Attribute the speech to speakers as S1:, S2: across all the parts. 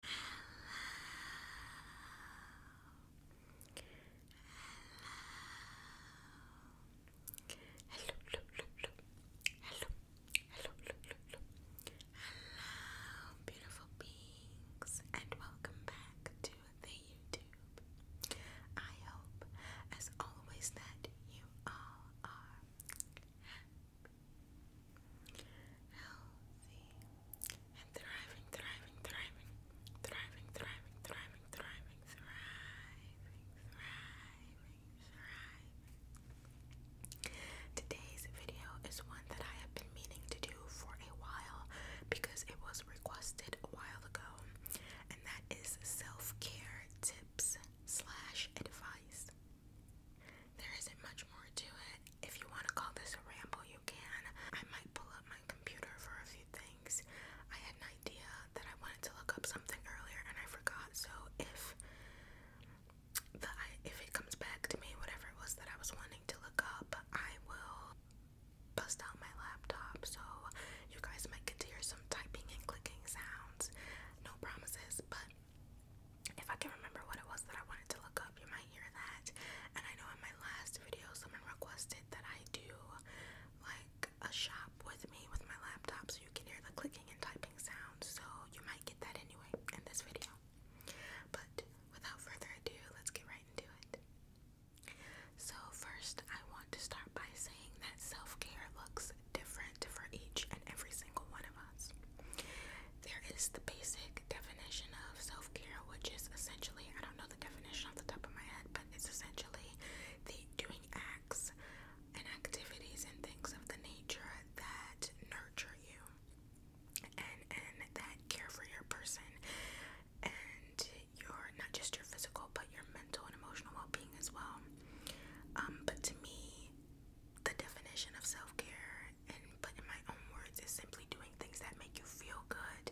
S1: hello, hello, hello, hello, hello, hello, beautiful beings, and welcome back to the YouTube. I hope, as always, that you all are healthy, and thriving, thriving, thriving, thriving, thriving, thriving, thriving, thriving, thriving, thriving. Today's video is one that I have been meaning to do for a while because it was requested a while ago, and that is self-care tips slash advice. There isn't much more to it if you want to call this a ramble, you can. I might pull up my computer for a few things. I had an idea that I wanted to look up something earlier and I forgot. So if the if it comes back to me, whatever it was that I was wanting to look up, I will bust out my laptop. So you guys might get to hear some typing and clicking sounds. No promises, but if I can remember what it was that I wanted to look up, you might hear that. And I know in my last video, someone requested that I do like a shop with me with my laptop so you can hear the clicking and typing sounds. So you might get that anyway in this video. But without further ado, let's get right into it. So, first, I want to start by saying that self care looks different for each and every single one of us there is the basic definition of self care, which is essentially I don't know the definition off the top of my head, but it's essentially the doing acts and activities and things of the nature that nurture you and and that care for your person and your not just your physical but your mental and emotional well being as well. Um, but to me, the definition of self care and but in my own words is simply doing things that make you feel good.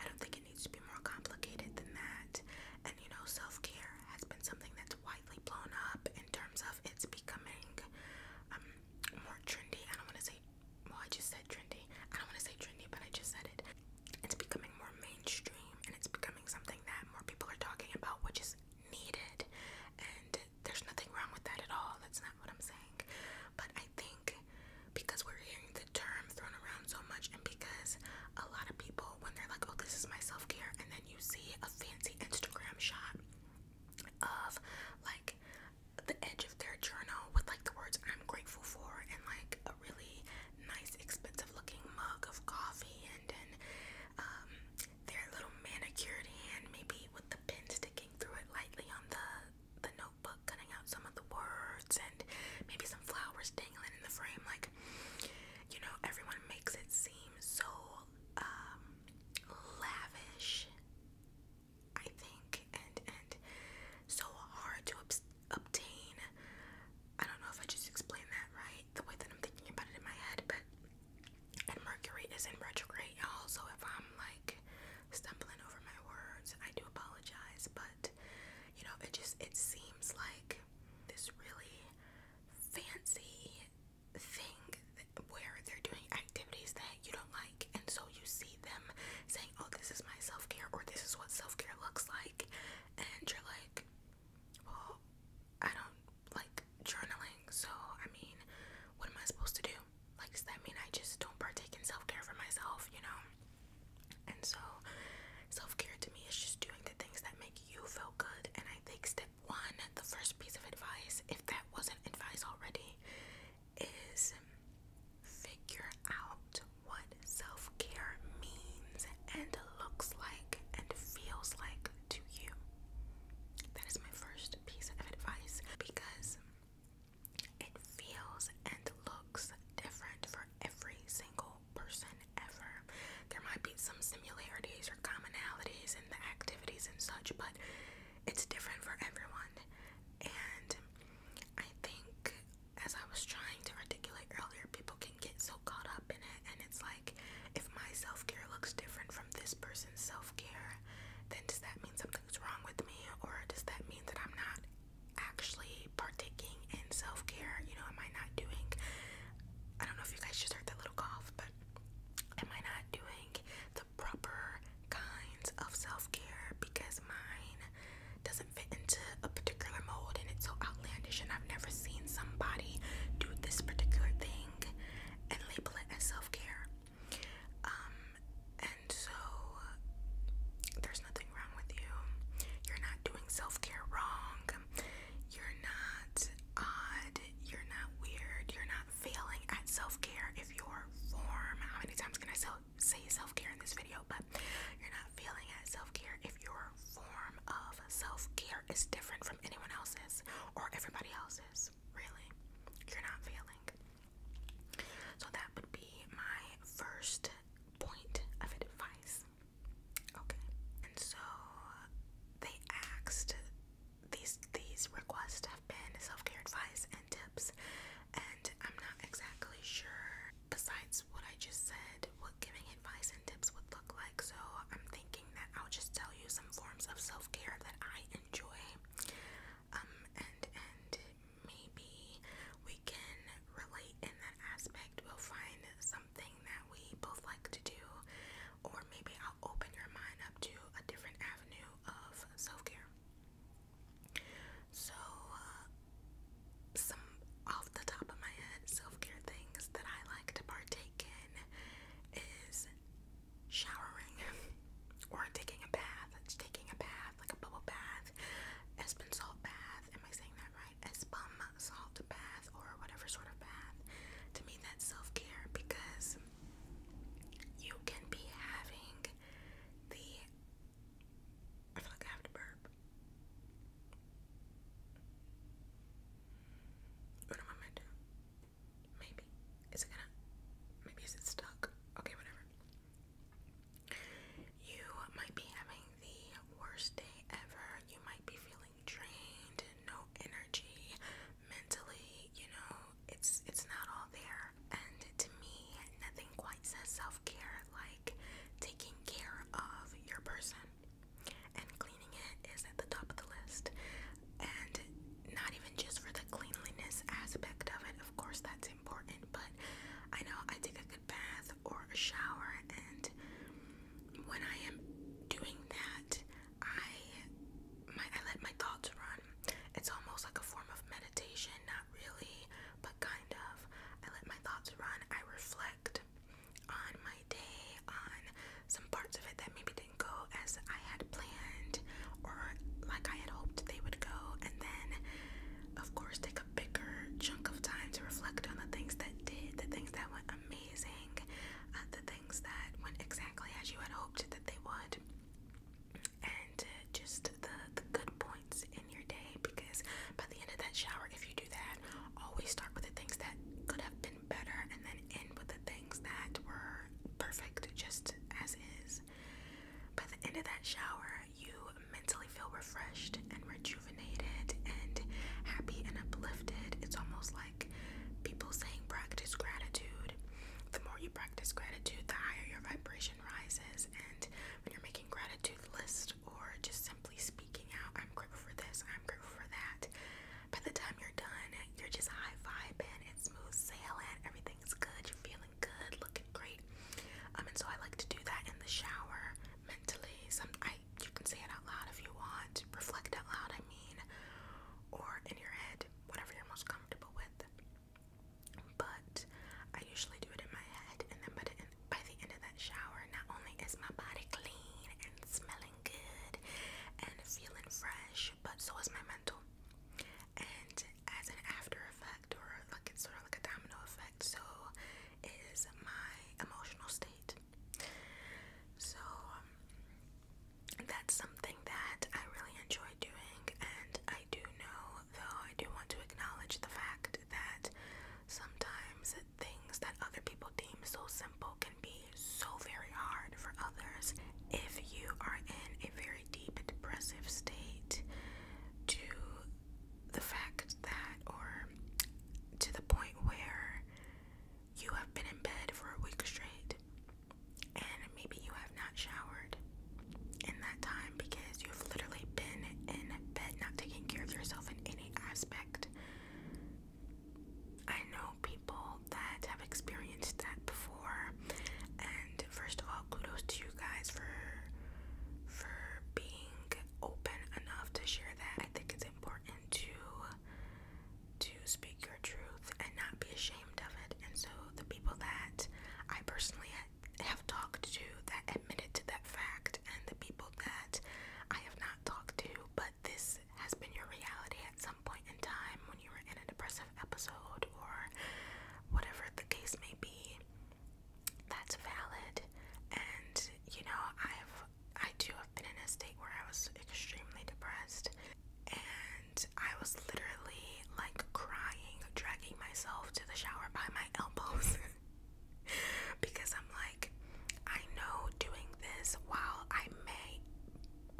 S1: I don't think it needs to be more complicated than that. And you know, self-care has been something that's widely blown up in terms of it's becoming um, more trendy. I don't want to say well, I just said trendy. I don't want to say trendy, but I just said it. It's becoming more mainstream and it's becoming something that more people are talking about, which is needed. And there's nothing wrong with that at all. That's not what I'm saying. But I think because we're hearing the term thrown around so much, and because a lot of people, when they're like, oh, this is my self care, and then you see a fancy Instagram shot of like the edge of their journal with like the words I'm grateful for, and like a really nice, expensive looking mug of coffee, and then um, their little manicured hand, maybe with the pin sticking through it lightly on the the notebook, cutting out some of the words and maybe some flowers dangling in the frame. Like, you know, everyone makes it seem so um, lavish, I think, and and so hard to obtain. I don't know if I just explained that right, the way that I'm thinking about it in my head, but and Mercury is in retrograde, you if I'm like stumbling over my words. I do apologize, but you know, it just it seems like this really fancy thing where they're doing activities that you don't like, and so you see them saying, "Oh, this is my self-care," or "This is what self-care looks like," and you're like, "Well, I don't like journaling, so I mean, what am I supposed to do?" like does that mean I just don't partake in self care for myself, you know? And so self care to me is just doing the things that make you feel good. And I think step one, the first piece of advice, if that wasn't advice already, is figure out what self care means and looks like and feels like to you. That is my first piece of advice because it feels and looks different for every single person ever. There might be some similarities or commonalities in the activities and such, but it's different for everyone. And I think, as I was trying to articulate earlier, people can get so caught up in it, and it's like, if my self care looks different from this person's self care, then does that mean something? What's wrong with me, or does that mean that I'm not actually partaking in self care? You know, am I not doing, I don't know if you guys just heard that little cough, but am I not doing the proper kinds of self care because mine doesn't fit into a particular mold and it's so outlandish, and I've never seen somebody do this particular thing and label it as self care? Um, and so uh, there's nothing wrong with you. You're not doing self care wrong. You're not odd. You're not weird. You're not failing at self care if your form. How many times can I say self care in this video? But you're not failing at self care if your form of self care is different from anyone else's or everybody else's. Really, you're not failing. So that would be my first point of advice. Okay. And so they asked these these requests have been self-care advice and tips and I'm not exactly sure besides what I just said what giving advice and tips would look like. So I'm thinking that I'll just tell you some forms of self-care that I enjoy. Um and and maybe we can relate in that aspect. We'll find something that we both like to do, or maybe I'll open your mind up to a different avenue of self care. So, uh, some off the top of my head self care things that I like to partake in is showering or taking a bath. It's taking a bath bath, like a bubble bath, Espen salt bath. Am I saying that right? Espum salt bath or whatever sort of bath. To me, that's self care because you can be having the. I feel like I have to burp. What am I meant to? Maybe. Is it gonna. Maybe is it stuck? Okay, whatever. You might be having the worst day ever. You might be feeling drained, no energy, mentally, you know, it's it's not all there. And to me, nothing quite says self-care like taking care of your person. And cleaning it is at the top of the list. And not even just for the cleanliness aspect of it, of course that too important, but I know I take a good bath or a shower, and when I am doing that, I my, I let my thoughts run. It's almost like a form of meditation, not really, but kind of. I let my thoughts run. I reflect on my day, on some parts of it that maybe didn't go as I had planned or like I had hoped they would go, and then of course, take a bigger chunk of time to reflect on the things that did, the things that went amazing, uh, the things that went exactly as you had hoped that they would, and uh, just the, the good points in your day. Because by the end of that shower, if you do that, always start with the things that could have been better and then end with the things that were perfect just as is. By the end of that shower, you mentally feel refreshed and rejuvenated and happy and uplifted. It's almost like people saying practice gratitude. The more you practice gratitude, the higher your vibration rises. And when you're making gratitude list or just simply speaking out, I'm grateful for this, I'm grateful for that. By the time you're done, you're just high vibing, it's smooth sailing, everything's good, you're feeling good, looking great. Um, and so I like to do that in the shower mentally. Some I you can say it out loud if you want, reflect out loud, I mean, or in your head, whatever you're most comfortable with. But I usually do it in my head, and then by the, by the end of that shower, not only is my body clean and smelling good and feeling fresh, but so is my mental. And as an after or like it's sort of like a domino effect so is my emotional state so um, that's something that I really enjoy doing and I do know though I do want to acknowledge the fact that sometimes things that other people deem so simple can be so very hard for others if you are in a very deep depressive state to the fact that, or to the point where you have been in bed for a week straight and maybe you have not showered in that time because you've literally been in bed not taking care of yourself in any aspect. I know people that have experienced that before, first of all, kudos to you guys for for being open enough to share that. I think it's important to to speak your truth and not be ashamed of it. And so the people that I personally have talked to that admitted to that fact, and the people that I have not talked to, but this has been your reality at some point in time when you were in an depressive episode or whatever the case may be that's valid and you know I've I do have been in a state where I was extremely depressed and I was literally like crying dragging myself to the shower by my elbows because I'm like I know doing this while I may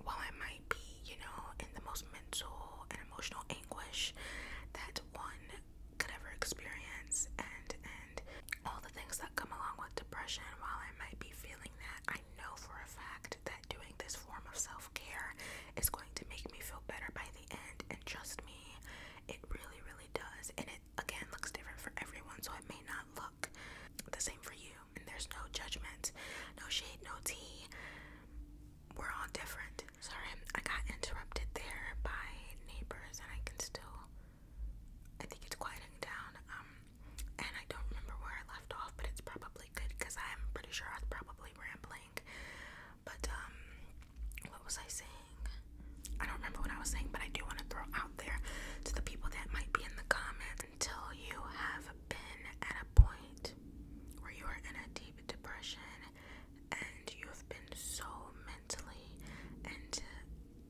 S1: while I might be you know in the most mental and emotional anguish that one could ever experience and and all the things that come along with depression while I might be feeling that I know for a fact that doing this form of self-care is going to make me feel better by the end and trust me it really really does and it again looks different for everyone so it may not look the same for you and there's no judgment no shade no tea we're all different. Sorry, I got interrupted there by neighbors, and I can still. I think it's quieting down. Um, and I don't remember where I left off, but it's probably good because I'm pretty sure I was probably rambling. But um, what was I saying? I don't remember what I was saying, but I do want to throw out there to the people that might be in the comments until you have been at a point where you are in a deep depression and you have been so mentally and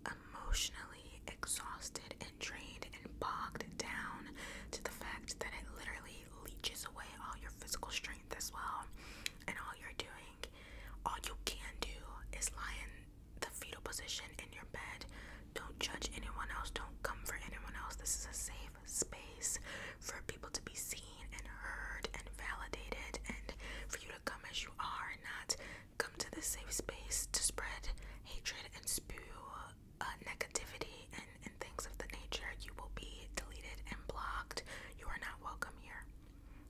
S1: emotionally exhausted and drained and bogged down to the fact that it literally leeches away all your physical strength as well. And all you're doing, all you can do is lie in the fetal position in your bed. Don't judge anyone else, don't come for anyone else. This is a safe space for people to be seen and heard and validated, and for you to come as you are, not come to this safe space to spread hatred and spew uh, negativity and, things of the nature. You will be deleted and blocked. You are not welcome here.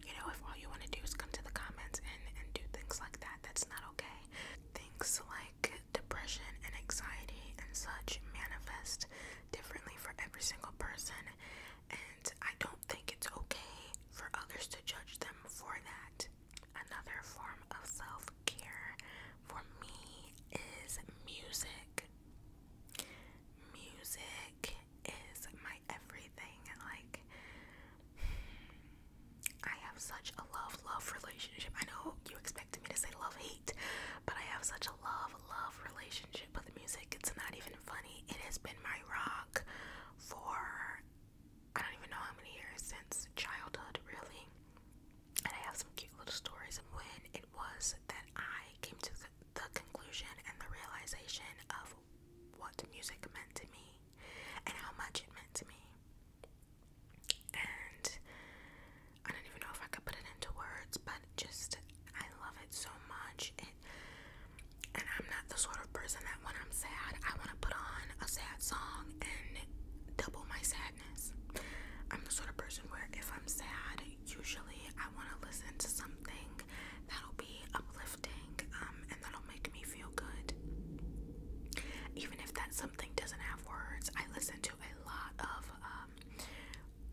S1: You know, if all you want to do is come to the comments and, and do things like that, that's not okay. Things like depression and anxiety and such manifest differently for every single person. I don't think it's okay for others to judge them for that. Another form of self care for me is music. Music is my everything. Like, I have such a love love relationship. I know you expected me to say love hate, but I have such a love love relationship with music. It's not even funny. It has been my rock for I don't even know how many years since childhood, really. And I have some cute little stories of when it was that I came to the conclusion and the realization of what music meant to me and how much it meant to me. And I don't even know if I could put it into words, but just I love it so much. and I'm not the sort of person that when I'm sad, I want to put on a sad song and double my sadness. I'm the sort of person where if I'm sad, usually I want to listen to something that'll be uplifting um, and that'll make me feel good. Even if that something doesn't have words, I listen to a lot of um,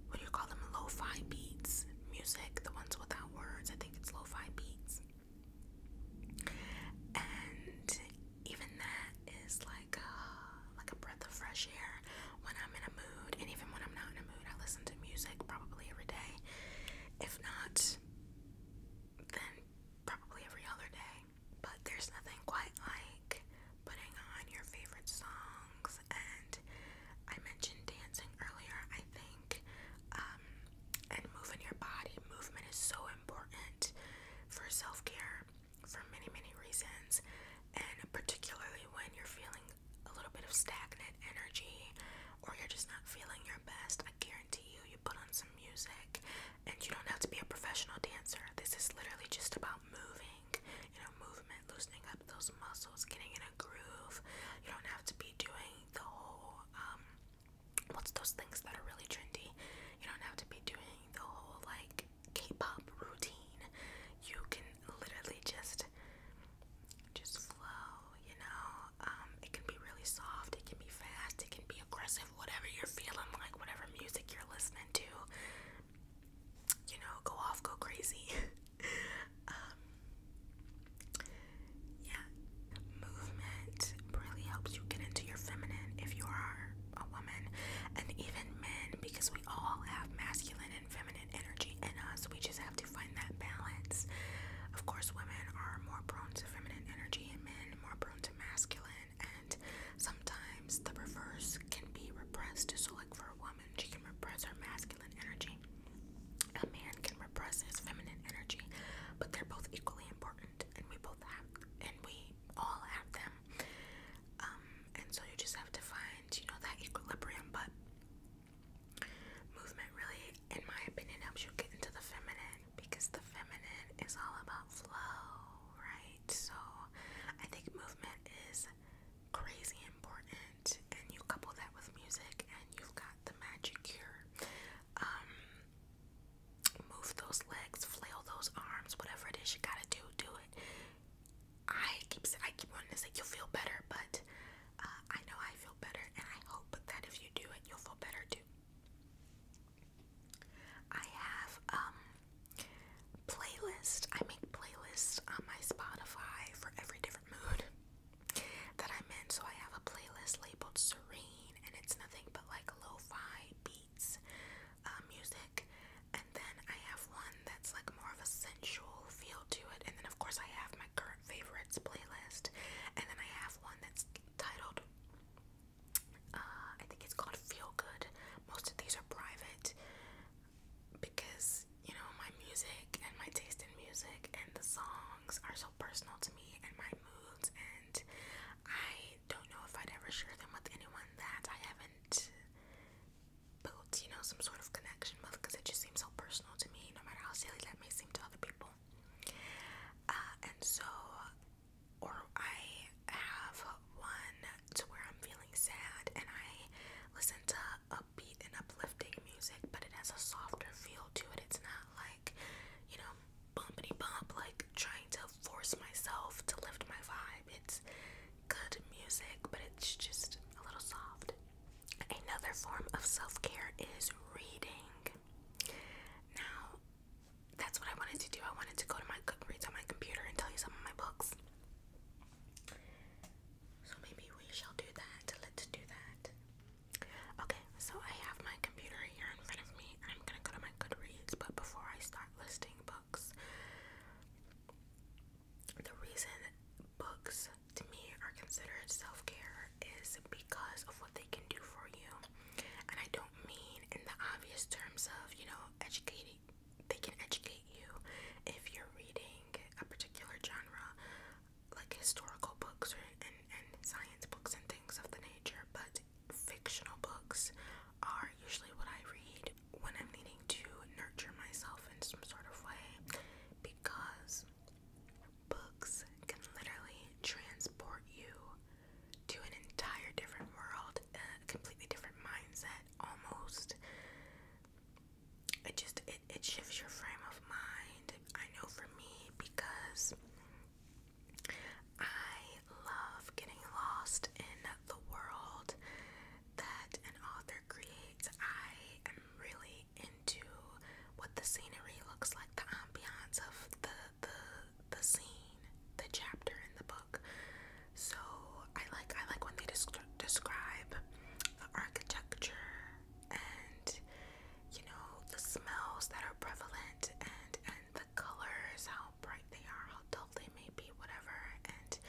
S1: what do you call them? Lo-fi beats music, the ones without words. I think it's lo-fi beats. And even that is like like a breath of fresh air when I'm in a mood. And even when I'm not in a mood, I listen to music probably every day. If not, then probably every other day. But there's nothing quite like putting on your favorite song and I mentioned dancing earlier, I think, um, and moving your body. Movement is so important for self care for many, many reasons, and particularly when you're feeling a little bit of stagnant energy or you're just not feeling your best. I guarantee you, you put on some music, and you don't have to be a professional dancer. This is literally just about moving, you know, movement, loosening up those muscles getting in a groove. You don't have to be doing the whole, um, what's those things that are really trendy? You don't have to be doing the whole like K pop routine. You can literally just, just flow, you know? Um, it can be really soft, it can be fast, it can be aggressive, whatever you're feeling like, whatever music you're listening to. You know, go off, go crazy. um, yeah, movement really helps you get into your feminine if you are a woman, and even men, because we all have masculine and feminine energy in us. We just have to find that balance. Of course, women are more prone to feminine energy, and men more prone to masculine, and sometimes the reverse can be repressed. So, like for a woman, she can repress her masculine energy. A man can repress his feminine energy, but they're both equally important, and we both have, and we all have them. Um, and so you just have to find, you know, that equilibrium. But movement really, in my opinion, helps you get into the feminine because the feminine is all about flow, right? So I think movement is crazy important, and you couple that with music, and you've got the magic cure. Um, move those legs, flail those arms, whatever it is you gotta do, do it. I keep I keep wanting to say you'll feel better, but uh, I know I feel better, and I hope that if you do it, you'll feel better too. I have um, playlist. I make playlists on my Spotify for every different mood that I'm So I have a playlist labeled Serene, and it's nothing but like lo fi beats um, music. And then I have one that's like more of a sensual feel to it. And then, of course, I have my current favorites playlist. And then I have one that's titled, uh, I think it's called Feel Good. Most of these are private because you know, my music and my taste in music and the songs are so personal to me and my moods, and I don't know if I'd ever share them with anyone that I haven't built, you know, some sort of connection with because it just seems so personal to me, no matter how silly that may seem to other people. Uh, and so, or I have one to where I'm feeling sad and I listen to a upbeat and uplifting music, but it has a softer feel to it. It's not like, you know, bumpity bump, like trying to force myself to lift my vibe. It's good music, but it's just a little soft. Another form of self care is reading. Now, that's what I wanted to do. I wanted to go to my Goodreads on my computer and tell you some of my books. So maybe we shall do that. Let's do that. Okay, so I have my computer here in front of me. I'm gonna go to my Goodreads, but before I start listing books, the reason books to me are considered self care is because of what they can do for you. And I don't mean in the obvious terms of, you know, educating, they can educate you if you're reading a particular genre, like historical books and, and science books and things of the nature, but fictional books are usually what I read when I'm needing to nurture myself in some sort of way because books can literally transport you to an entire different world, a completely different mindset almost it just it, it shifts your frame of mind. I know for me because I love getting lost in the world that an author creates. I am really into what the scenery looks like, the ambiance of the the the scene, the chapter in the book. So I like I like when they describe the architecture and you know the smells that are prevalent and and the colors, how bright they are, how dull they may be, whatever, and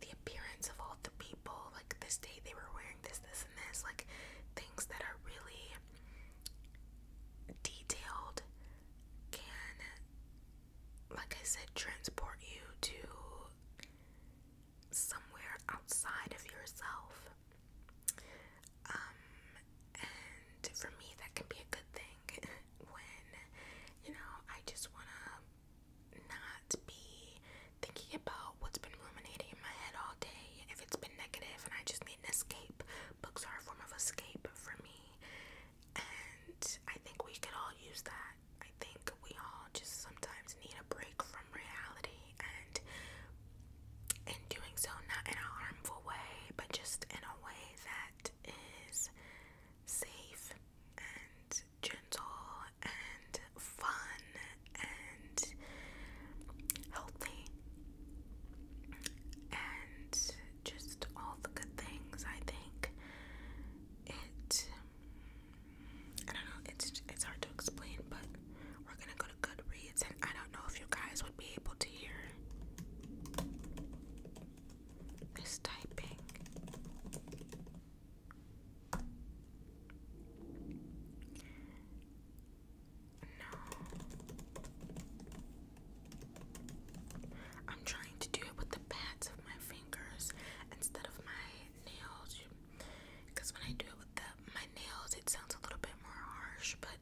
S1: the appearance of all the people. Like this day they were wearing this, this, and this. Like things that are really detailed can, like I said, transport you to somewhere outside of yourself. Um, and for me, that can be a good thing when, you know, I just want to not be thinking about what's been ruminating in my head all day. If it's been negative and I just need an escape, books are a form of escape for me. And I think we could all use that. I think we all just sometimes need a break from reality and in doing so not in a harmful way but just in a way that is safe and gentle and fun and healthy and just all the good things I think it I don't know it's it's hard to explain but we're gonna go. Goodreads, and I don't know if you guys would be able to hear this typing. No. I'm trying to do it with the pads of my fingers instead of my nails because when I do it with my nails, it sounds a little bit more harsh, but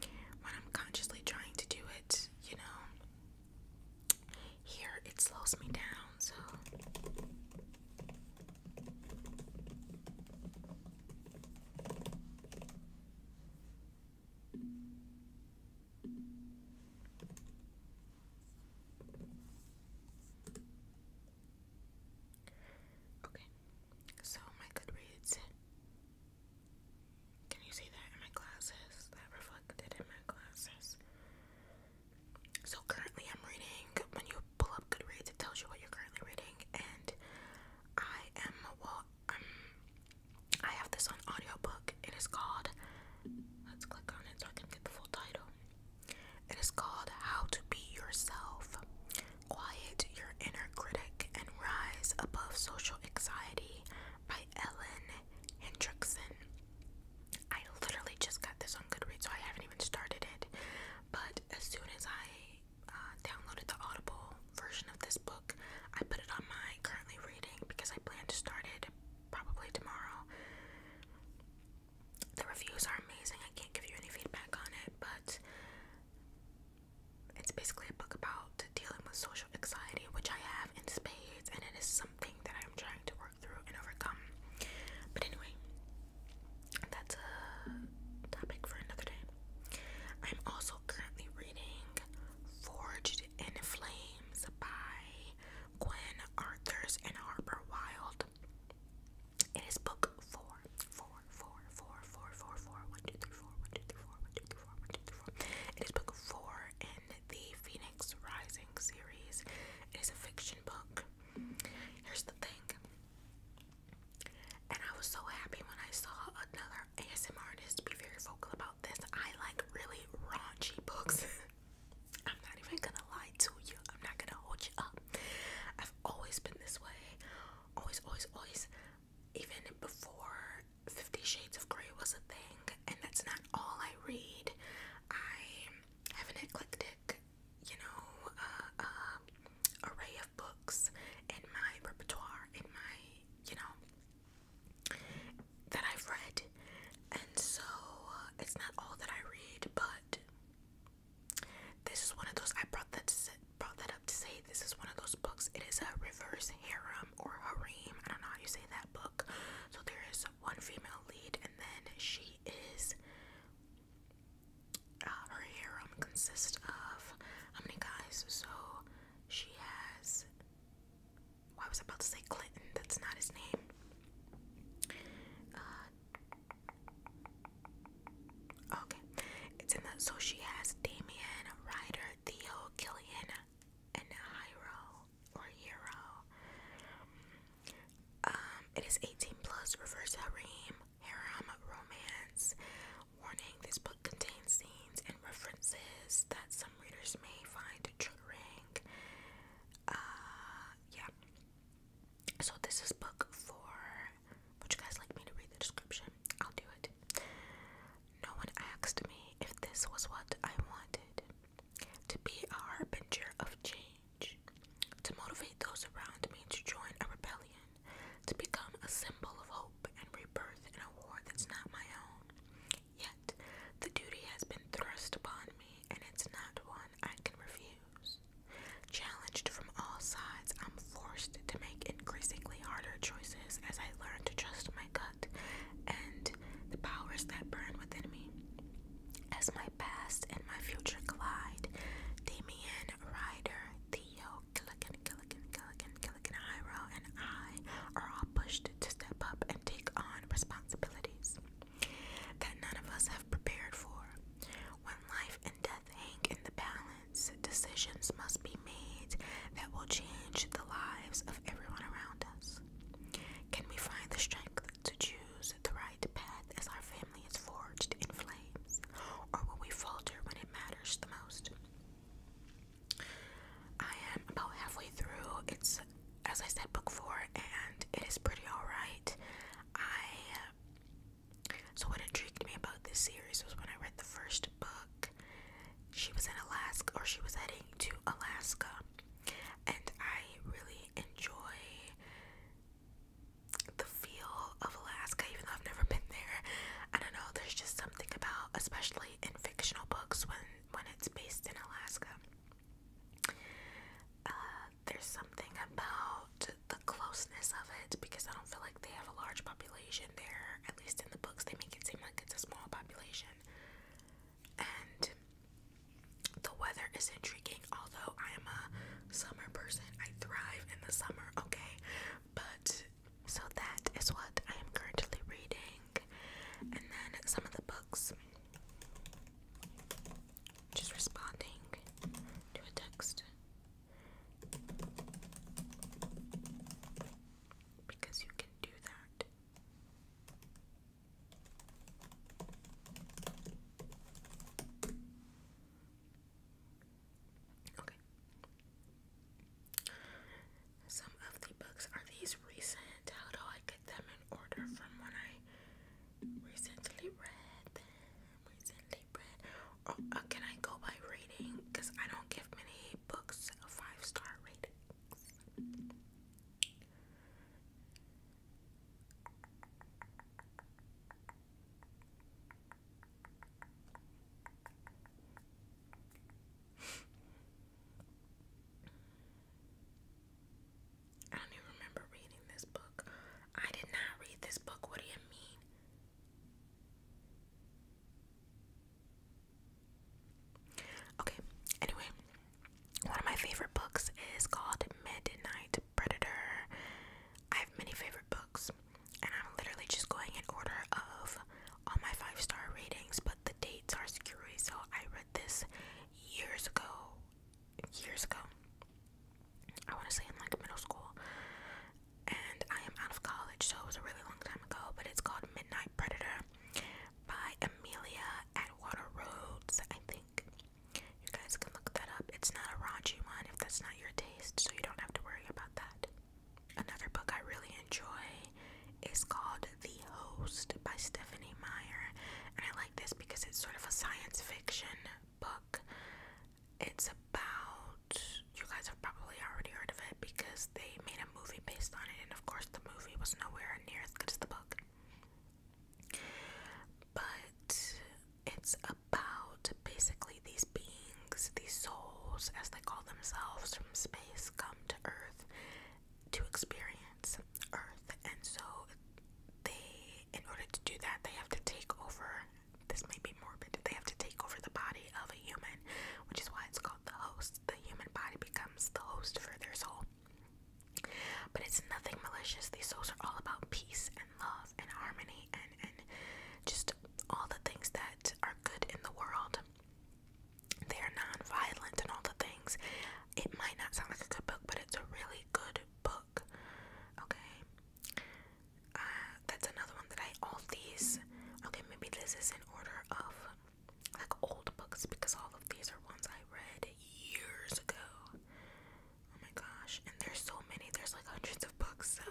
S1: when I'm consciously trying to do it, you know, here it slows me down, so. Okay. So my Goodreads. Can you see that in my classes? That reflected in my classes. So currently I'm reading, when you pull up Goodreads, it tells you what you're currently reading. And I am, well, um, I have this on audiobook. It is called, let's click on it so I can get the full title. It is called How to Be Yourself Quiet Your Inner Critic and Rise Above Social Anxiety by Ellen Hendrickson. I literally just got this on Goodreads, so I haven't even started it. But as soon as I uh, downloaded the Audible version of this book, I put it on my currently reading because I plan to start it probably tomorrow. The reviews are amazing. I can't give you any feedback on it, but it's basically a book about dealing with social anxiety, which I have in spades, and it is something that I'm trying to work through and overcome. But anyway, that's a topic for another day. I'm also currently reading Forged in Flames by Gwen Arthurs and Harper Wild. It is book four, four, four, four, four, four, four, one, two, three, four, one, two, three, four, one, two, three, four, one, two, three, four. It is book four in the Phoenix Rising series. It is a fiction book. Here's the thing. And I was so happy when I saw another ASMR artist be very vocal about this. I like really raunchy books. I'm not even gonna lie to you. I'm not gonna hold you up. I've always been this way always, always, always, even before Fifty Shades of Grey was a thing, and that's not all I read. I have an eclectic, you know, uh, uh, array of books in my repertoire, in my, you know, that I've read, and so uh, it's not all that I read, but this is one of those I brought that to, brought that up to say this is one of those books. It is a reverse harem or harem. I don't know how you say that book. So there is one female lead, and then she is uh, her harem consists of how many guys? So she has. was I about to say Clinton. That's not his name. Uh, Okay, it's in the so she has Damien, Ryder, Theo, Killian, and Hiro or Hero. Um, it is 18 plus, reverse harem, harem romance. Warning: This book contains scenes and references that some readers may find triggering. Uh, yeah. So this is book four. Would you guys like me to read the description? I'll do it. No one asked me if this was what I wanted to be a harbinger of change, to motivate those around me to join a rebellion, to become a symbol of hope and rebirth in a war that's not my own. Yet, the duty has been thrust upon me, and it's not one I can refuse years. Challenged from all sides, I'm forced to make increasingly harder choices as I learn to trust my gut and the powers that burn within me. As my past and my future collide, Damien Ryder, Theo Gilligan, Gilligan, Gilligan, Gilligan, Iro, and I are all pushed to step up and take on responsibilities that none of us have prepared for. When life and death in the balance, decisions must be made that will change the lives of everyone around us. Can we find the strength to choose the right path as our family is forged in flames, or will we falter when it matters the most? I am about halfway through. It's, as I said, book four, and it is pretty alright. I so, what intrigued me about this series was when I read the first book, she was in Alaska, or she was heading to Alaska, and I really enjoy the feel of Alaska, even though I've never been there. I don't know, there's just something about, especially in fictional books, when, when it's based in Alaska. Uh, there's something about the closeness of it because I don't feel like they have a large population there. At least in the books, they make it seem like it's a small population. And the weather is intriguing, although I am a summer person. I thrive in the summer, okay? But so that is what I am currently reading. And then some of the books. Just responding to a text. Because you can do that. Okay. Some of the books are these recent. How do I get them in order from when I recently read them? Uh, can I go by rating? Because I don't give many books a five star rating. I don't even remember reading this book. I did not read this book. What do you mean? Okay, anyway, one of my favorite books is called Midnight Predator. I have many favorite books, and I'm literally just going in order of all my five star ratings, but the dates are screwy, so I read this years ago. Years ago. I want to say in like middle school and I am out of college, so it was a really long time ago. But it's called Midnight Predator by Amelia Atwater Rhodes, I think. You guys can look that up. It's not a raunchy one if that's not your taste, so you don't have to worry about that. Another book I really enjoy is called The Host by Stephanie Meyer, and I like this because it's sort of a science fiction book it's about you guys have probably already heard of it because they made a movie based on it, and of course the movie was nowhere near as good as the book. But it's about basically these beings, these souls, as they call themselves, from space come to Earth to experience Earth, and so they, in order to do that, they have to take over this may be morbid, they have to take over the body of a human, which is why it's called the host. The human body becomes the host for their soul. But it's nothing malicious. These souls are all about peace and love and harmony and, and just all the things that are good in the world. They are non-violent and all the things. It might not sound like a good book, but it's a really good book. Okay, uh, that's another one that I all these. Okay, maybe this is in order of like old books because all of these are ones I read years ago. Oh my gosh, and there's so many. There's like hundreds of books so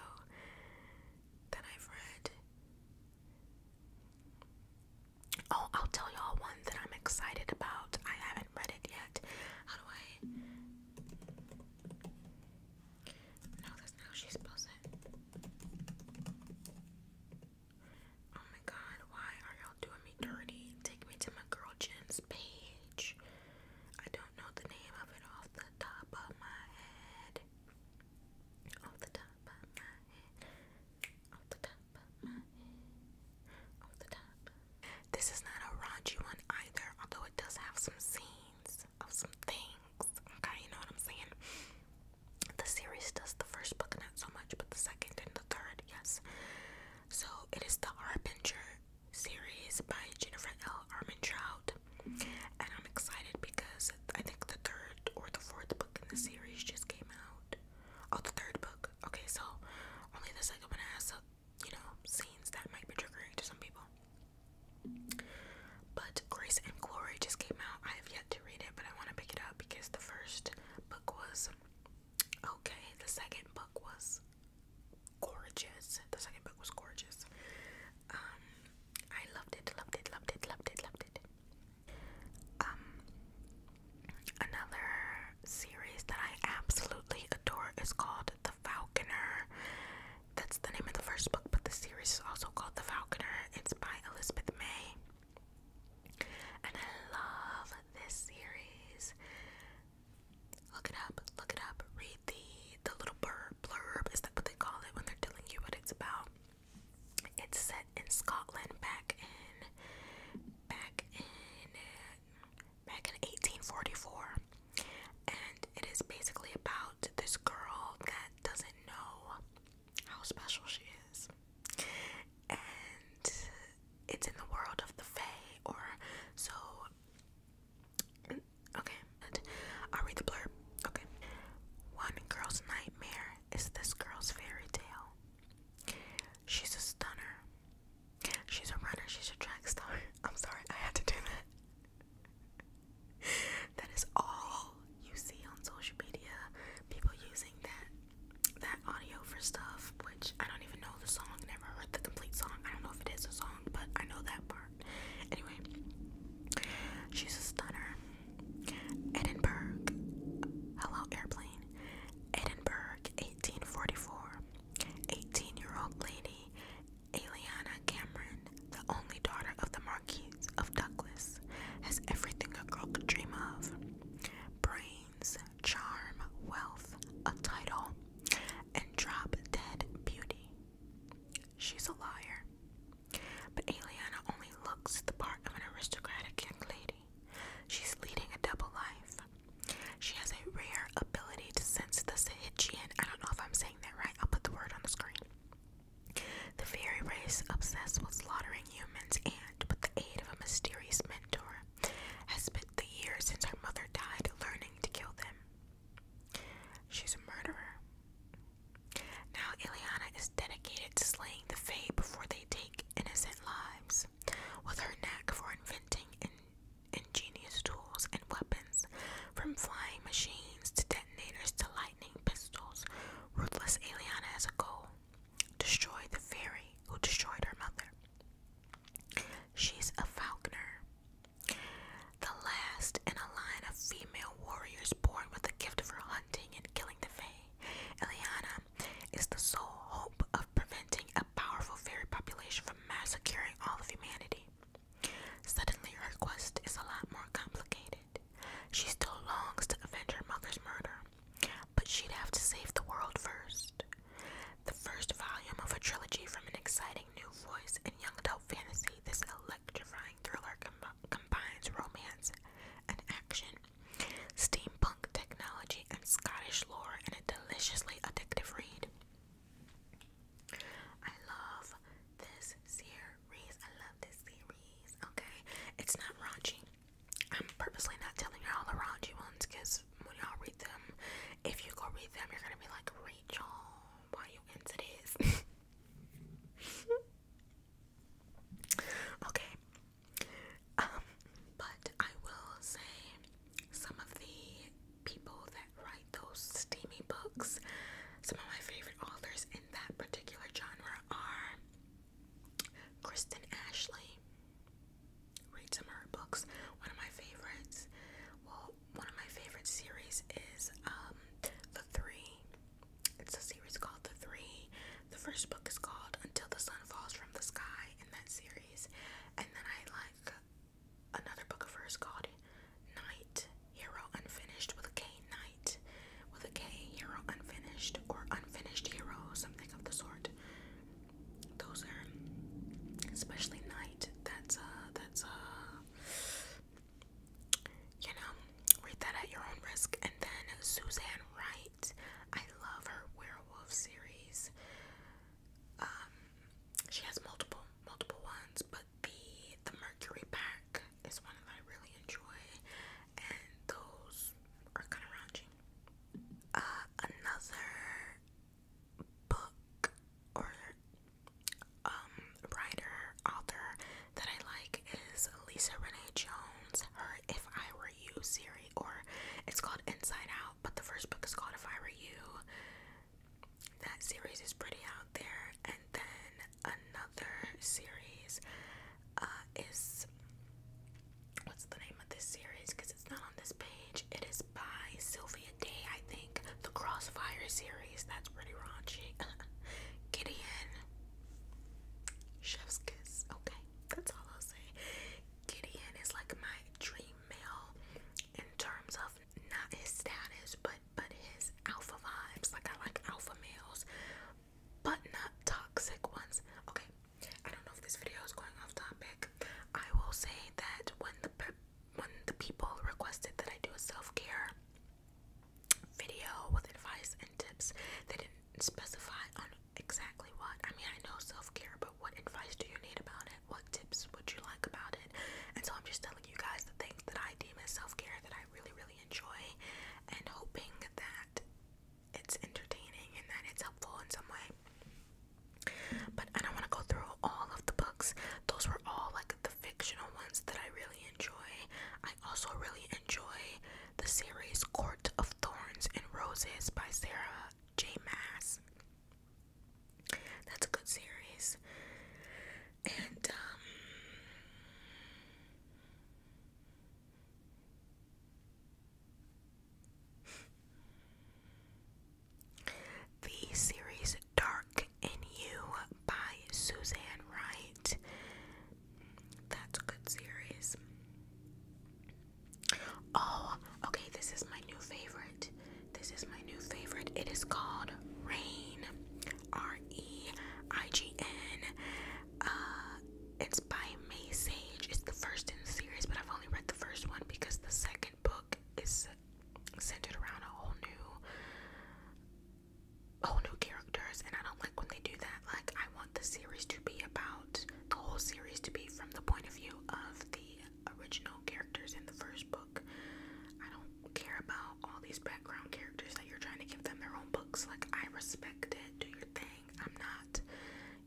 S1: that I've read. Oh, I'll tell y'all one that I'm excited about. I haven't read it yet. How do I? No, that's not how she spells it. Oh my god, why are y'all doing me dirty? Take me to my girl Jen's page. I don't know the name of it off the top of my head. Off the top of my head. Off the top of my head. Off the top. This is not a raunchy one either, although it does have some scenes of some things. Okay, you know what I'm saying? The series does the first book not so much, but the second and the third, yes. So it is the Harbinger series by Jennifer L. Armentrout, and I'm excited because I think the third or the fourth book in the series just came out. Oh, the third book. Okay, so only the second one has, uh, you know, scenes that might be triggering to some people. But Grace and Glory just came out. I have yet to read it, but I want to pick it up because the first book was okay, the second book was gorgeous. The second book was gorgeous. Um, I loved it, loved it, loved it, loved it, loved it. Um, another series that I absolutely adore is called The Falconer. That's the name of the first book, but the series is also called The Falconer. It's by Elizabeth May. And I love this series. Look it up, look it up, read the the little blurb, is that what they call it when they're telling you what it's about. It's set in Scotland back in back in back in 1844. And it is basically about this girl that doesn't know how special she is. And it's in the world of the Fae, or so. Okay, I'll read the blurb. Okay. One girl's nightmare is this girl's fairy tale. She's a stunner. She's a runner. She's a track star. I'm sorry, I had to do that. that is all you see on social media. People using that that audio for stuff, which I don't even know the song, never heard the complete song. I don't know if it is a song, but I know that part. Anyway, she's a stunner. Edinburgh. Hello airplane. Edinburgh 1844. 18 year old lady Aliana Cameron the only daughter of the Marquise of Douglas, has everything a girl could dream of brains, charm, wealth, a title, and drop dead beauty. She's a liar. But Aliana only looks the part of an aristocratic young lady. She's leading a double life. She has a rare ability to sense the Sahijian. I don't know if I'm saying that right. I'll put the word on the screen. The fairy race, obsessed with slaughtering humans, and with the aid of a mysterious mentor, has spent the years since her mother died learning to kill them. She's a murderer. Now, Ileana is dedicated to slaying the Fae before they take innocent lives. With her knack for inventing ingenious tools and weapons, from flying machines to detonators to lightning pistols. Ruthless Eliana has a goal. Destroy the fairy who destroyed her mother. She's a falconer. The last in a line of female warriors born with the gift of her hunting and killing the fae. Eliana is the sole hope of preventing a powerful fairy population from massacring all of humanity. Suddenly, her quest is a lot more complicated. She still longs to avenge her mother's murder, but she'd have to save the world first. The first volume of a trilogy from an exciting new voice and young adult fantasy, this electrifying thriller combines romance and action, steampunk technology, and Scottish lore in a deliciously addictive read. I love this series series. I love this series. Okay, it's not raunchy. I'm purposely not telling y'all the raunchy ones because when y'all read them, if you go read them, you're gonna be like, Rachel, why you into this? okay. Um, but I will say some of the people that write those steamy books, some of my favorite authors that particular genre are Kristen Ashley. Read some of her books. One of my favorites. Well, one of my favorite series is um, The Three. It's a series called The Three. The first book is called Until the Sun Falls from the Sky in that series. And then I like another book of hers called Night Hero Unfinished with a K Knight with a K Hero Unfinished or Unfinished Hero, something of the sort. Those are especially Knight. That's a uh, that's a uh, you know, read that at your own risk. And then Suzanne Wright. I love her werewolf series. Um she has multiple multiple ones, but the the Mercury pack is one that I really enjoy, and those are kind of raunchy. Uh, another book or um, writer, author that I like is Lisa Renee Jones, her If I Were You series, or it's called Inside Out, but the first book is called If I Were You. That series is pretty out there. And then another series uh, is what's the name of this series? Because it's not on this page. It is by Sylvia Day, I think. The Crossfire series. That's pretty raunchy. Gideon. Chef's kiss. Okay, that's all I'll say. Gideon is like my dream male in terms of not his status, but but his alpha vibes. Like I like alpha males, but not toxic ones. Okay, I don't know if this video is going off topic. I will say that when the when the people requested that I do a self care video with advice and tips, they didn't specify on exactly what. I mean, I know self care, but what advice do you need about it? What tips would you like about it? And so I'm just telling you guys the things that I deem as self care that I really, really enjoy and hoping that it's entertaining and that it's helpful in some way. But I don't want to go through all of the books. Those were all like the fictional ones that I really enjoy. I also really enjoy the series Court of Thorns and Roses by Sarah J. Mass. That's a good series. And um the series Dark in You by Suzanne Wright. That's a good series. Oh, okay, this is my new favorite. This is my new favorite. It is called Rain. R E I G N. Uh, it's by May Sage. It's the first in the series, but I've only read the first one because the second book is centered around a whole new, whole new characters, and I don't like when they do that. Like, I want the series to be about the whole series to be from the point of view of the original characters in the first book. I don't care about all these background characters that you're trying to give them their own books. Like, I respect it. Do your thing. I'm not,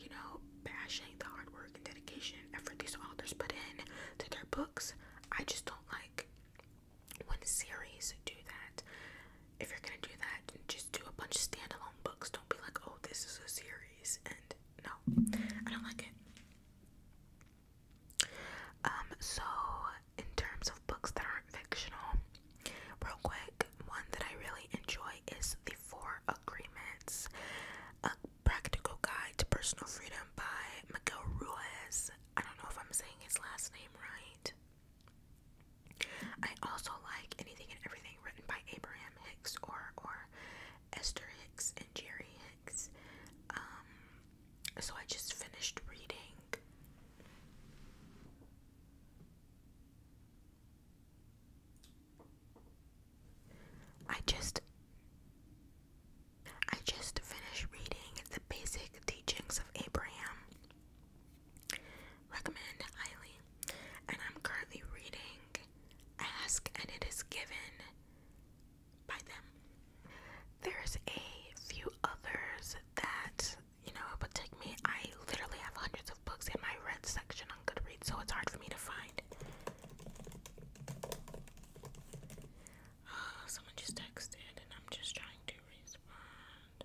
S1: you know, bashing the hard work and dedication effort these authors put in to their books. I just don't like when series do that. If you're gonna do that, just do a bunch of standalone books. Don't be like, oh, this is a series. And no, I don't like it. Um, so in terms of books that aren't fictional, real quick, one that I really enjoy is The Four Agreements, a practical guide to personal freedom by Miguel Ruiz. I don't know if I'm saying his last name right. I also like anything and everything written by Abraham Hicks or or Esther Hicks and Jerry Hicks. Um, so I just finished reading I just I just finished reading the basic teachings of Abraham. Recommend highly. And I'm currently reading Ask and It Is Given by them. There's a few others that you know it take me i literally have hundreds of books in my red section on goodreads so it's hard for me to find uh, someone just texted and i'm just trying to respond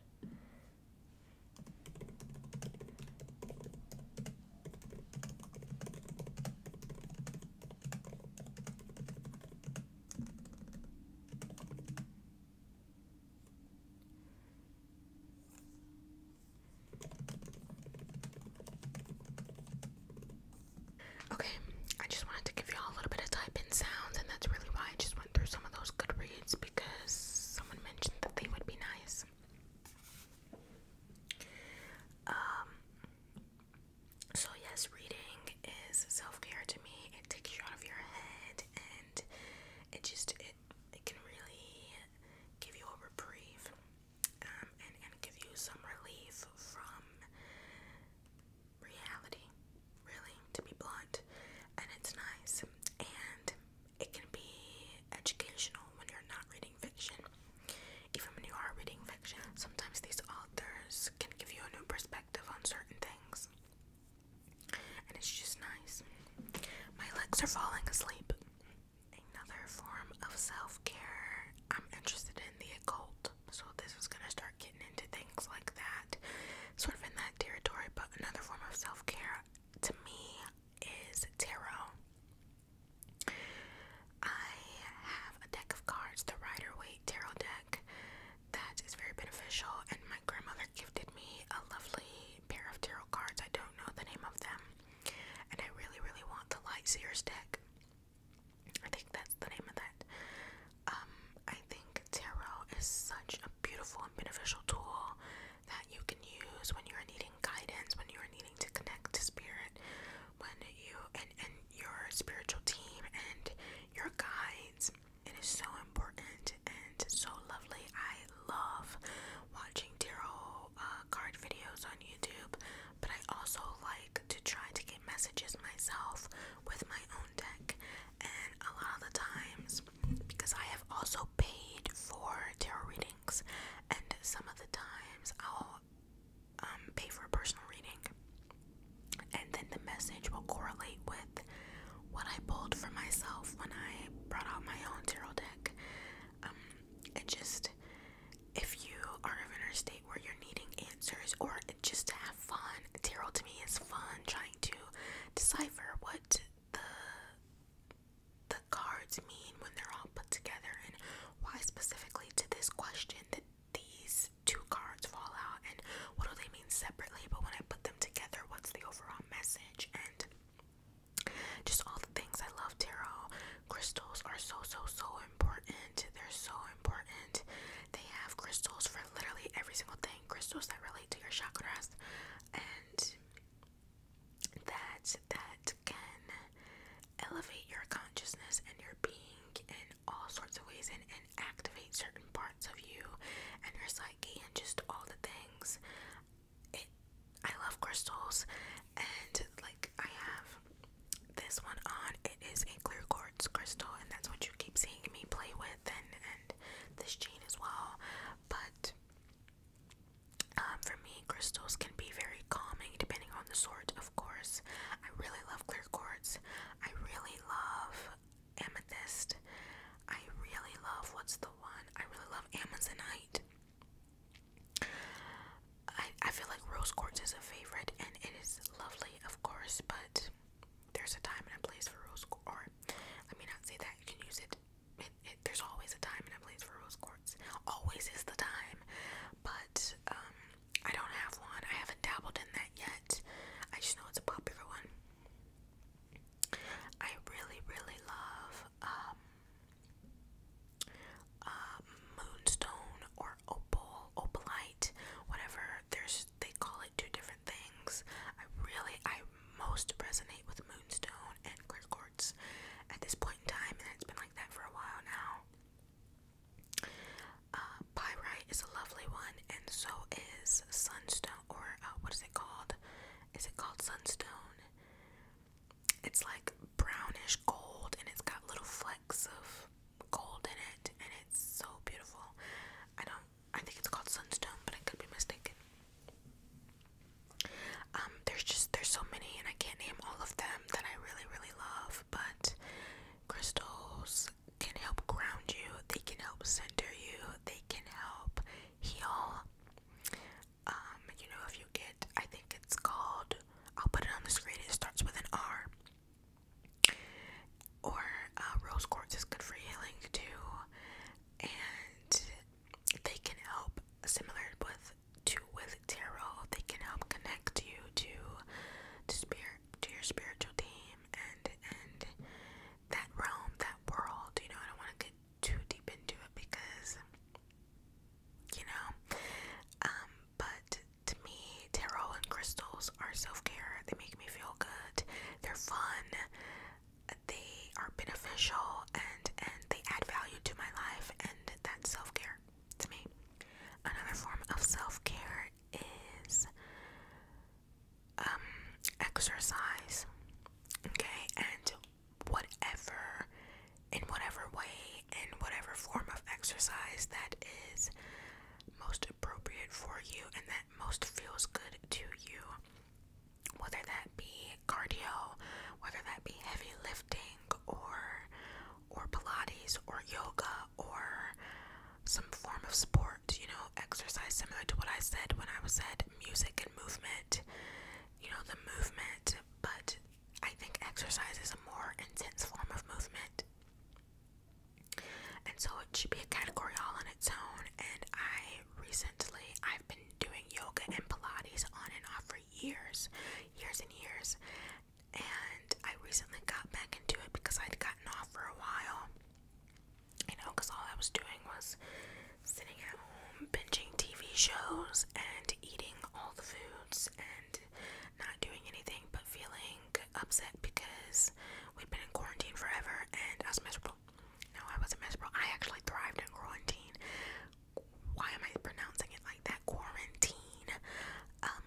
S1: Okay, I just wanted to give you all a little bit of type sounds, and that's really why I just went through some of those good reads because someone mentioned that they would be nice. Um, so, yes, reading is self care to me, it takes you out of your head, it just it it can really give you a reprieve um, and and give you some relief from reality, really, to be blunt. And it's nice, and it can be educational when you're not reading fiction. Even when you are reading fiction, sometimes these authors can give you a new perspective on certain things and it's just nice. My legs are falling asleep. Another form of self care. I'm interested in the occult, so this is gonna start getting into things like that, sort of in that territory. But another form of self care to me is tarot. I have a deck of cards, the Rider Waite tarot deck, that is very beneficial, and my grandmother gifted me a lovely pair of tarot cards. I don't know the name of them. And I really, really want the Light Lightseer's deck. I think that's the name of that. Um, I think tarot is such a beautiful and beneficial tool that you can use when you're needing guidance, when you're needing to connect to spirit, when you and, and your spiritual team and your guides it is so important and so lovely. I love watching tarot uh, card videos on YouTube, but I also like to try to get messages myself with my own deck. And a lot of the times, because I have also paid for tarot readings, and some of the times I'll um, pay for a personal reading, and then the message will correlate with what I pulled for myself when I brought out my own tarot deck. Um, it just, if you are in a state where you're needing answers or just to have fun, tarot to me is fun. Trying to decipher what the the cards mean when they're all put together and why specifically to this question that these two cards fall out and what do they mean separately but when I put them together what's the overall message and just all the things I love tarot. Crystals are so, so, so important. They're so important. They have crystals for literally every single thing. Crystals that relate to your chakras and that that can elevate your consciousness and your being in all sorts of ways and, and activate certain parts of you and your psyche and just all the things it I love crystals and like I have this one on it is a clear quartz crystal and that's what you keep seeing me play with and and this chain as well but um, for me crystals can be very calming depending on the sort of course I really love clear quartz I really love amethyst. I really love what's the one? I really love amazonite. I I feel like rose quartz is a favorite, and it is lovely, of course, but there's a time and a place for rose quartz. let me not say that. You can use it. there's always a time and a place for rose quartz. Always is the time, but um, I don't have one. I haven't dabbled in that yet. I just know it's a popular one. I really, really love um, uh, moonstone or opal, opalite, whatever. There's they call it two different things. I really, I most resonate with moonstone and clear quartz at this point in time, and it's been like that for a while now. Uh, pyrite is a lovely one, and so is sunstone or uh, what is it called? Is it called sunstone? It's like brownish gold and it's got little flecks of gold in it and it's so beautiful. I don't I think it's called sunstone, but I could be mistaken. Um there's just there's so many and I can't name all of them that I really really love, but crystals can help ground you. They can help center you. They can help heal. Um, you know, if you get, I think it's called, I'll put it on the screen, it starts with an R. Or uh, rose quartz is good for healing too, and they can help, similar with to with tarot, they can help connect you to to spirit, to your spiritual team, and and that realm, that world. You know, I don't want to get too deep into it because you know um but to me tarot and crystals are self-care they make me feel good they're fun they are beneficial and and they add value to my life and that's self-care to me another form of self-care is um exercise okay and whatever, in whatever way, in whatever form of exercise that is most appropriate for you and that most feels good to you. Whether that be cardio, whether that be heavy lifting or or Pilates or yoga or some form of sport, you know, exercise similar to what I said when I was said music and movement you know the movement, but I think exercise is a more intense form of movement. And so it should be a category all on its own. And I recently, I've been doing yoga and Pilates on and off for years, years and years. And I recently got back into it because I'd gotten off for a while you know, because all I was doing was sitting at home, binging TV shows, and eating all the foods, and not doing anything but feeling upset because we'd been in quarantine forever and I was miserable. No, I wasn't miserable. I actually thrived in quarantine. Why am I pronouncing it like that? Quarantine. Um,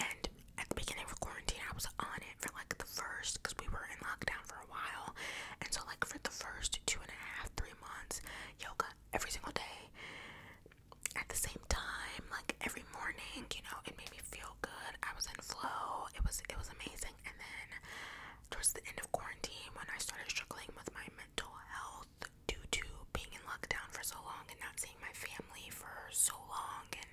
S1: and at the beginning of quarantine, I was on it for like the first, because we were in lockdown for a while. And so, like, for the first first two and a half, three months, yoga every single day at the same time, like every morning, you know, it made me feel good. I was in flow. It was it was amazing. And then towards the end of quarantine when I started struggling with my mental health due to being in lockdown for so long and not seeing my family for so long and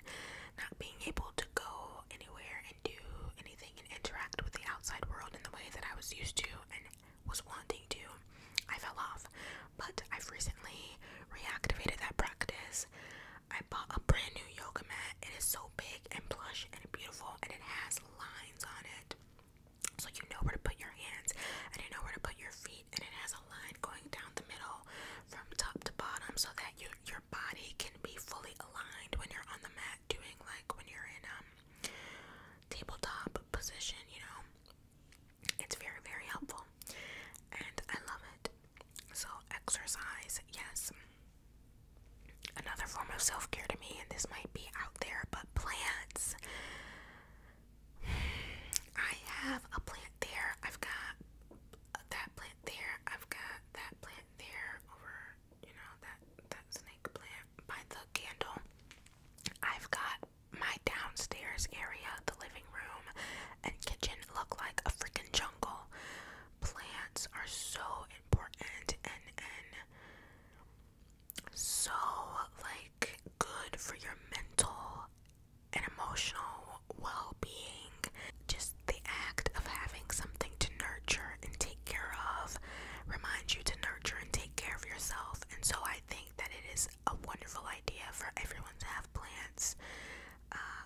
S1: not being able to go anywhere and do anything and interact with the outside world in the way that I was used to and was wanting to, I fell off. But I've recently reactivated that practice. I bought a brand new yoga mat. It is so big and plush and beautiful and it has lines on it. So you know where to put your hands and you know where to put your feet and it has a line going down the middle from top to bottom so that you, your body can be fully aligned when you're on the mat at doing like when you're in um tabletop position, you know. It's very, very helpful. And I love it. So exercise, yes. Another form of self-care to me, and this might be out there, but plants. I have a plant there. I've got that plant there. I've got that plant there over you know that that snake plant by the candle. I've got my downstairs area, the living room and kitchen look like a freaking jungle. Plants are so important and and so like good for your mental and emotional well-being. Just the act of having something to nurture nurture and take care of, reminds you to nurture and take care of yourself. And so I think that it is a wonderful idea for everyone to have plants. Um,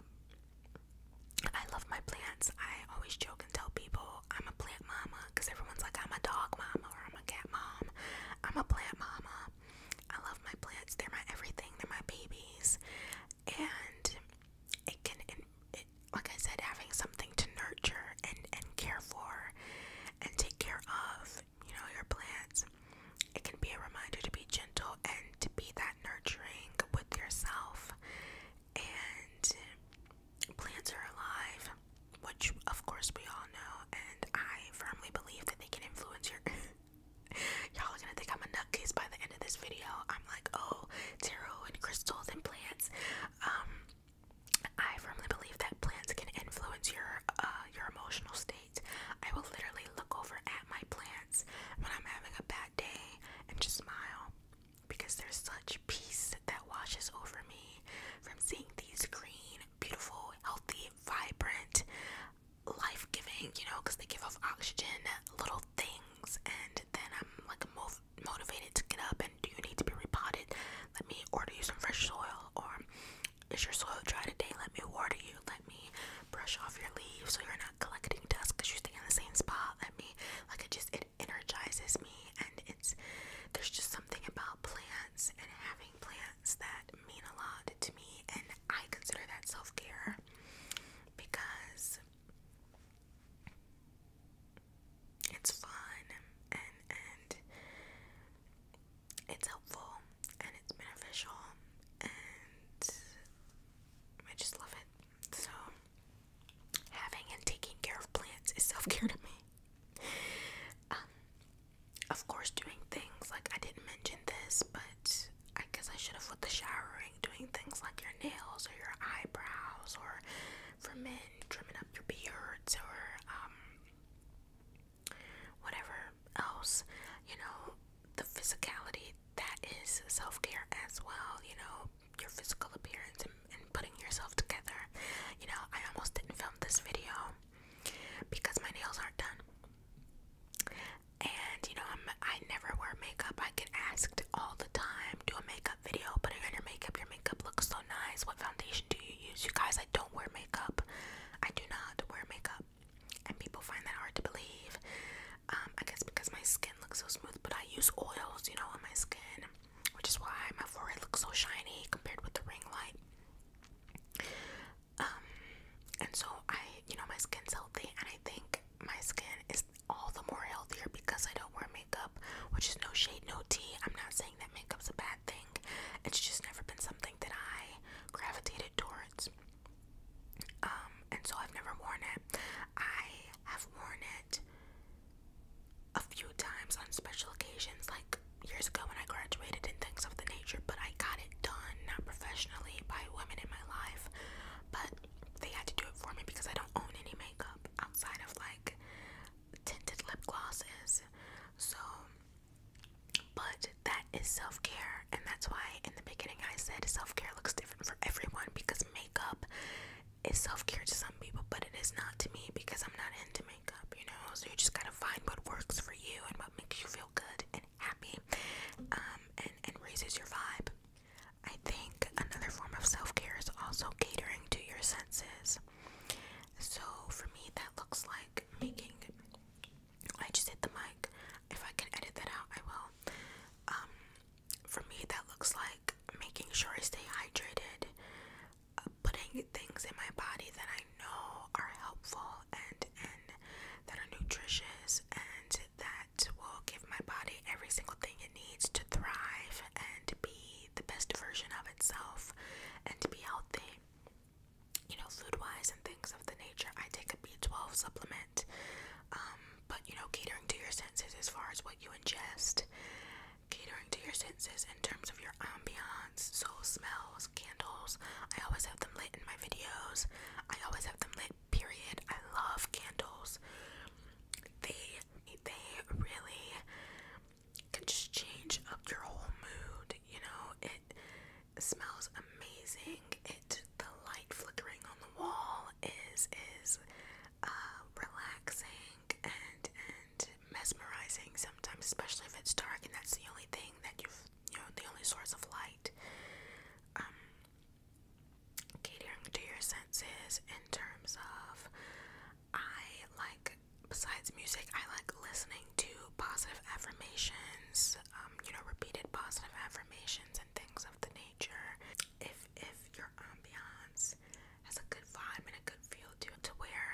S1: I love my plants. I always joke and tell people I'm a plant mama because everyone's like, I'm a dog mama or I'm a cat mom. I'm a plant mama. I love my plants. They're my everything. They're my babies. And it can like I said, having something to nurture and, and care for and take care of, you know, your plants, it can be a reminder to be gentle and to be that nurturing with yourself. And plants are alive, which of course we all know, and I firmly believe that they can influence your. Y'all are gonna think I'm a nutcase by the end of this video. I'm like, oh, tarot and crystals and plants. Um, I firmly believe that plants can influence your uh, your emotional state. I will literally look over at my plants when I'm having a bad day and just smile because there's such peace that washes over me from seeing these green, beautiful, healthy, vibrant, life-giving, you know, because they give off oxygen, little things, and then I'm like moving motivated to get up and do you need to be repotted? Let me order you some fresh soil. Or is your soil dry today? Let me water you. Let me brush off your leaves so you're not collecting dust because you are staying in the same spot. Let me, like, it just, it energizes me. And it's, there's just something about plants and having plants that mean a lot to me. And I consider that self care because it's fun and and it's helpful and it's beneficial and I just love it. So having and taking care of plants is self-care to me. Um, of course doing things like I didn't mention this, but I guess I should have with the showering, doing things like your nails or your eyebrows or for men trimming up your beards or um, whatever else, you know, the physicality that is self care as well, you know, your physical appearance and, putting yourself together. You know, I almost didn't film this video because my nails aren't done. And you know, I never wear makeup. I get asked all the time do a makeup video, but you're your makeup, your makeup looks so nice. What foundation do you use? You guys, I don't wear makeup. I do not wear makeup. And people find that hard to believe. Um, I guess because my skin looks so smooth, but I use oils, you know, on my skin, which is why my forehead looks so shiny compared with the ring light. Um, and so I, you know, my skin's healthy, and I think my skin is all the more healthier because I don't wear makeup, which is no shade, no tea. I'm not saying that makeup's a bad thing. It's just never been something that I gravitated towards. Um, and so I've never worn it. I have worn it a few times on special occasions, like years ago when I graduated and things of the nature, but I got it done, not professionally, by women in my life. But they had to do it for me because I don't own any makeup outside of like tinted lip glosses, So, but that is self care, and that's why in the beginning I said self care looks different for everyone because makeup is self care to some people, but it is not to me because I'm not into makeup, you know. So, you just gotta find what works for you and what makes you feel good and happy um, and, and raises your vibe. I think another form of self care is also catering to your senses. So for me, that looks like making. I just hit the mic. If I can edit that out, I will. Um, for me, that looks like making sure I stay hydrated, uh, putting things in my body that I know are helpful and and that are nutritious and that will give my body every single thing it needs to thrive and be the best version of itself and to be healthy. You know, food wise and things of the nature. I take a B12 supplement, um, but you know, catering to your senses as far as what you ingest, catering to your senses in terms of your ambiance, so smells, candles. I always have them lit in my videos, I always have them lit, period. I love candles. They, they really can just change up your whole mood. You know, it smells amazing. It the light flickering on the wall is is uh, relaxing and and mesmerizing sometimes, especially if it's dark and that's the only thing that you've you know the only source of light. Um, catering to your senses in terms of I like, besides music, I like listening to positive affirmations, um, you know, repeated positive affirmations and things of the nature. If if your ambiance has a good vibe and a good feel to it, to where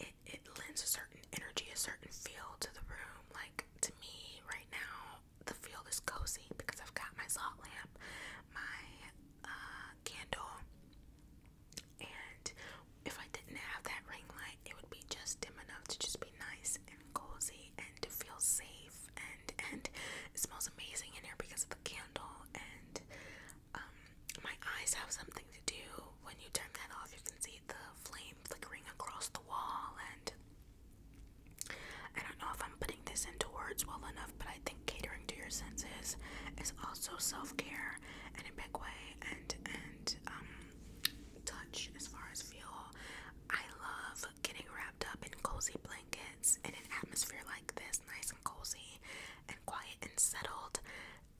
S1: it it lends a certain energy, a certain feel to the room. Like to me right now, the feel is cozy because I've got my salt lamp, my uh, candle, and if I didn't have that ring light, it would be just dim enough to just be nice and cozy and to feel safe. And and it smells amazing in here because of the candle. And um, my eyes have something to do. When you turn that off, you can see the flame flickering across the wall. And I don't know if I'm putting this into words well enough, but I think catering to your senses is also self-care in a big way and and um touch as far as feel I love getting wrapped up in cozy blankets in an atmosphere like this nice and cozy and quiet and settled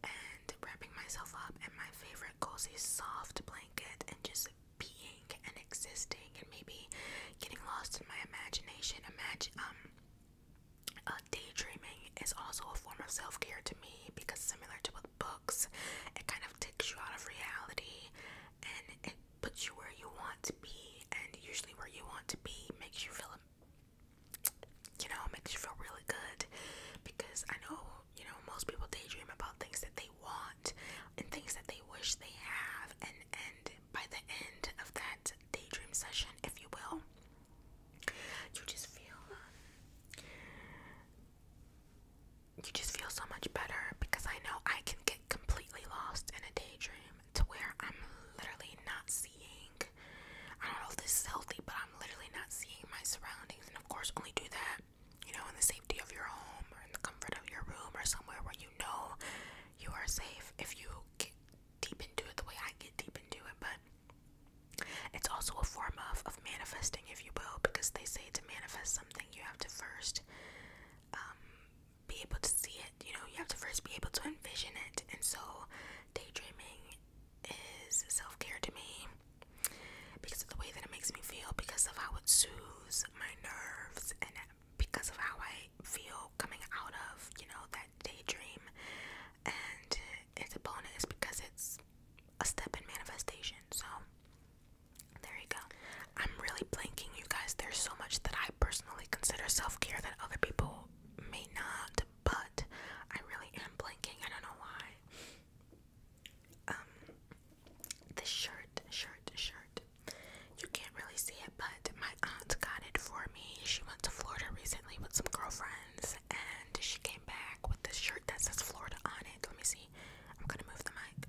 S1: and wrapping myself up in my favorite cozy soft blanket and just being and existing and maybe getting lost in my imagination imagine um uh, daydreaming is also a form of self care to me because, similar to with books, it kind of takes you out of reality and it puts you where you want to be. And usually, where you want to be makes you feel, you know, makes you feel really good because I know, you know, most people daydream about things that they want and things that they wish they have. And, and by the end of that daydream session, if you will, you just feel um, you just feel so much better because I know I can get completely lost in a daydream to where I'm literally not seeing I don't know if this is healthy but I'm literally not seeing my surroundings and of course only do that you know in the safety of your home or in the comfort of your room or somewhere where you know you are safe if you get deep into it the way I get deep into it but it's also a form of, of manifesting, if you will, because they say to manifest something, you have to first um, be able to see it. You know, you have to first be able to envision it. And so, daydreaming is self care to me because of the way that it makes me feel, because of how it soothes my nerves, and because of how I feel coming out of, you know, that daydream and it's a bonus because it's a step in manifestation. So there you go. I'm really blanking, you guys. There's so much that I personally consider self care that other people may not, but I really am blanking. I don't know why. Um, this shirt, shirt, shirt. You can't really see it, but my aunt got it for me. She went to Florida recently with some girlfriends and she came back with this shirt that says Florida on it. Let me see. I'm gonna move the mic.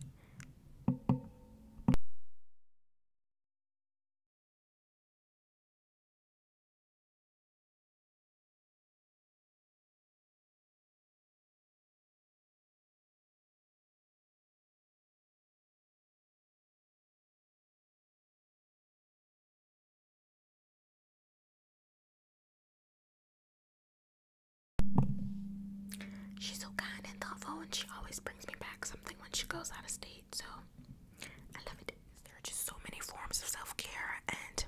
S1: She's so kind and thoughtful, and she always brings me back something when she goes out of state. So I love it. There are just so many forms of self care, and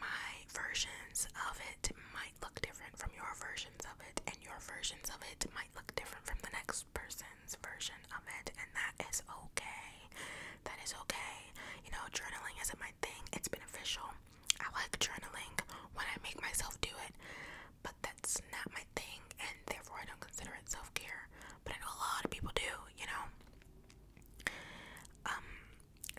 S1: my versions of it might look different from your versions of it, and your versions of it might look different from the next person's version of it, and that is okay. That is okay. You know, journaling isn't my thing, it's beneficial. I like journaling when I make myself do it, but that's not my thing, and therefore I don't consider it self care. But I know a lot of people do, you know? Um,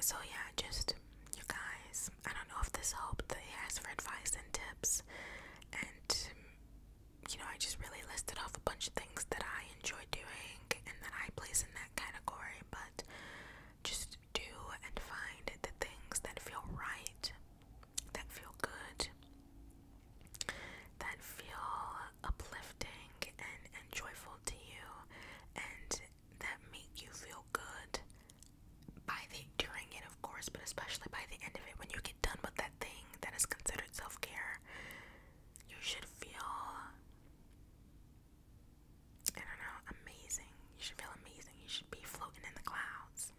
S1: so yeah, just you guys, I don't know if this helped. They asked for advice and tips, and you know, I just really listed off a bunch of things that I enjoy doing and that I place in that category, but just do and find the things that feel right, that feel good, that feel uplifting and, and joyful to you, and that make you feel good by the during it, of course, but especially by the end of it when you get done with that thing that is considered self care. You should feel I don't know, amazing. You should feel amazing. You should be floating in the clouds.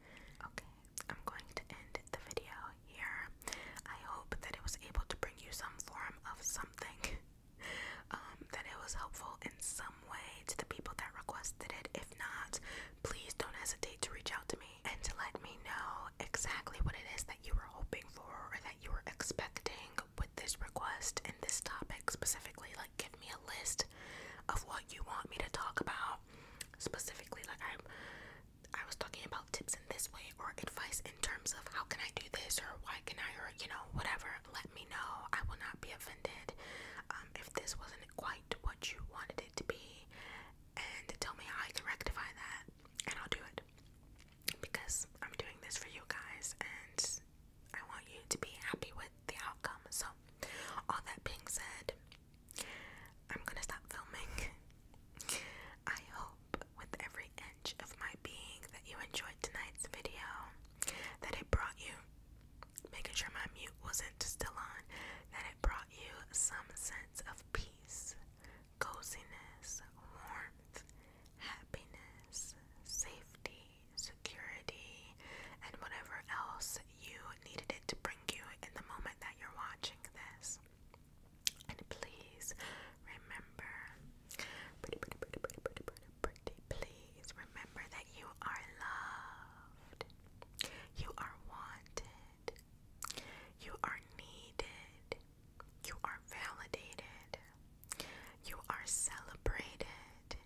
S1: Okay, I'm going to end the video here. I hope that it was able to bring you some form of something. Um, that it was helpful in some way to the people that requested it. If not, please don't hesitate to reach out to me and to let me know exactly what it is that you were hoping for or that you were expecting with this request and this topic specifically. Like, give me a list of what you want me to talk about specifically. Like, I'm I was talking about tips in this way or advice in terms of how can I do this or why can I or you know whatever. Let me know. I will not be offended um, if this wasn't quite what you wanted it to be, and tell me how I can rectify that and I'll do it because I'm doing this for you guys and I want you to be happy with the outcome. So, all that being said, I'm gonna stop filming. I hope with every inch of my being that you enjoyed tonight's video, that it brought you, making sure my mute wasn't still on, that it brought you some sense of peace, coziness, warmth, happiness, safety, security, and whatever else you needed it to bring you in the moment that you're watching this. And please remember, pretty, pretty, pretty, pretty, pretty, pretty, pretty, please remember that you are loved, you are wanted, you are needed, you are validated. You are celebrated.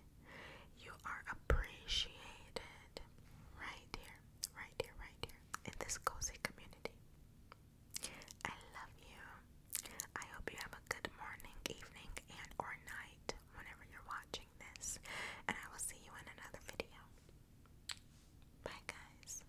S1: You are appreciated. Right here, right here, right here in this cozy community. I love you. I hope you have a good morning, evening, and or night whenever you're watching this. And I will see you in another video. Bye guys.